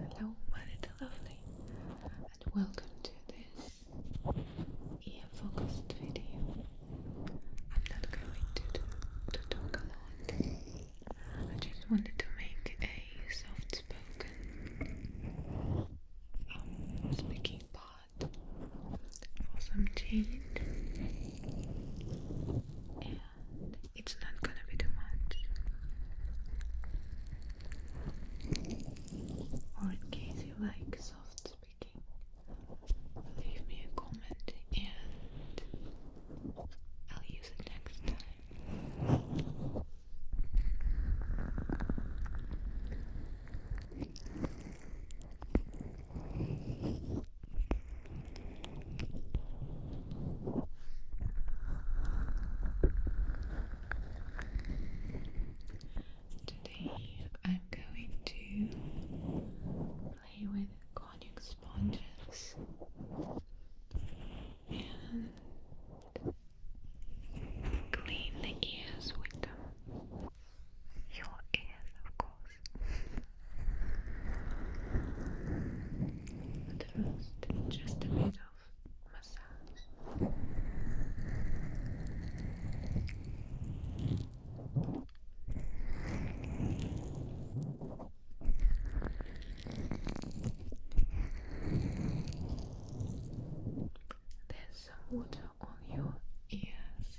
Hello, my little lovely, and welcome to this ear focused video. I'm not going to, do, to talk a lot. I just wanted to make a soft spoken um, speaking part for some And it's not gonna be too much or in case you like soft speaking, leave me a comment and I'll use it next time. Today I'm going to play with conic sponges and clean the ears with them. Your ears, of course. But first, just a bit of massage. There's some water on your ears.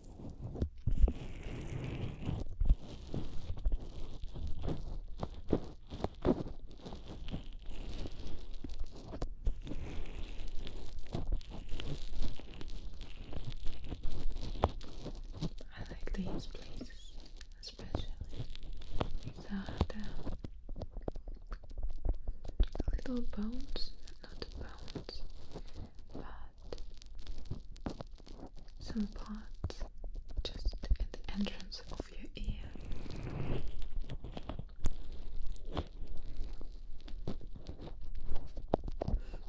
I like these places especially. They the little bones, not the bones, but some parts just at the entrance of your ear.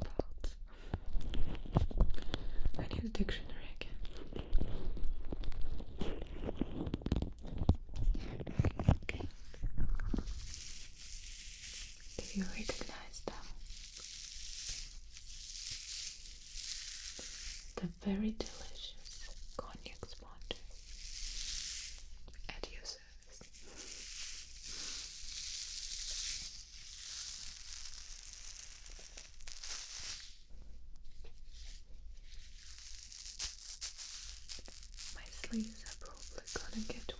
Parts. I need a dictionary again. Do you recognize them? The very delicious cognac sponges at your service. My sleeves are probably gonna get wet.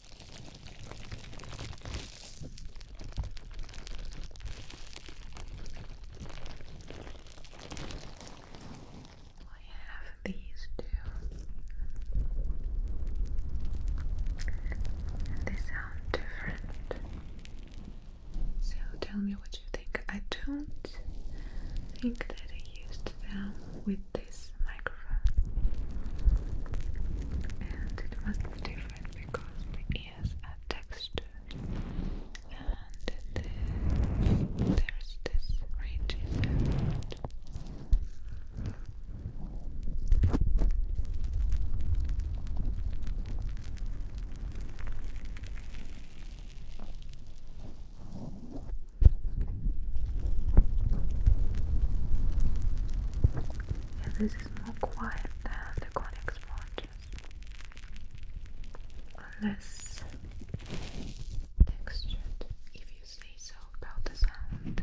I have these two. And they sound different. So tell me what you think. I don't think that I used them with this microphone. And it must be different because my ears are textured and there's this ridge effect. And is more quiet than the conic sponges unless textured if you say so about the sound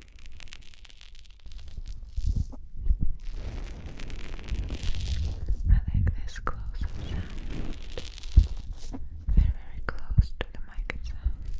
I like this close up sound. Very, very close to the mic itself. I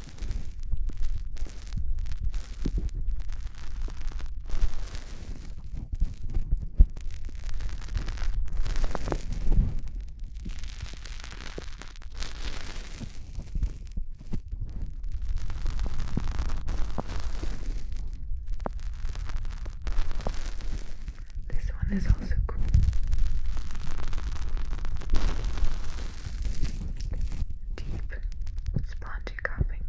This one is also cool. Deep, spongy coughing. Deep,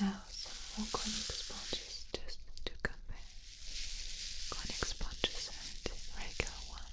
Now some more conic sponges just to compare conic sponges and regular ones.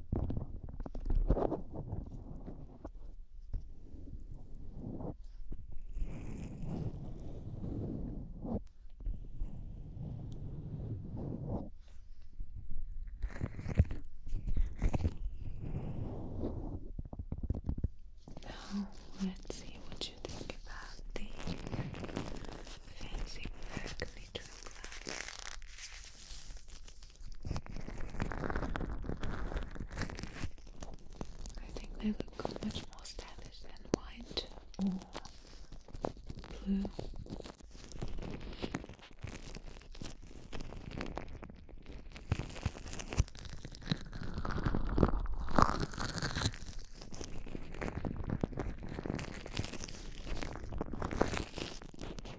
Now, let's see what you think about the fancy bag. I think they look much more stylish than white or blue.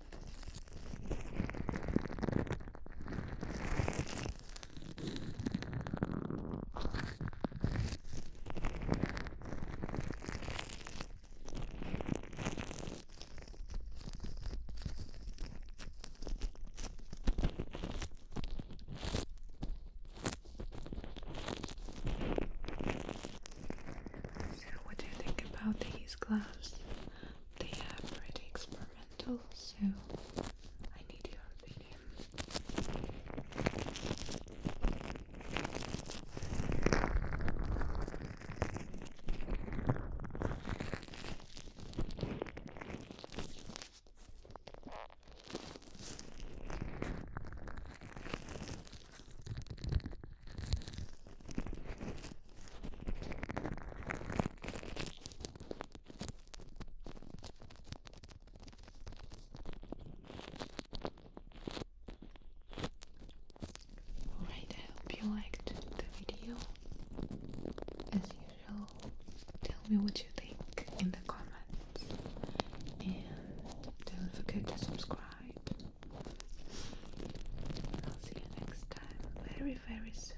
So, what do you think about these gloves? They are pretty experimental and also I need your opinion. Alright, I hope you liked the video. As usual, tell me what you think in the comments. And don't forget to subscribe. I'll see you next time very, very soon.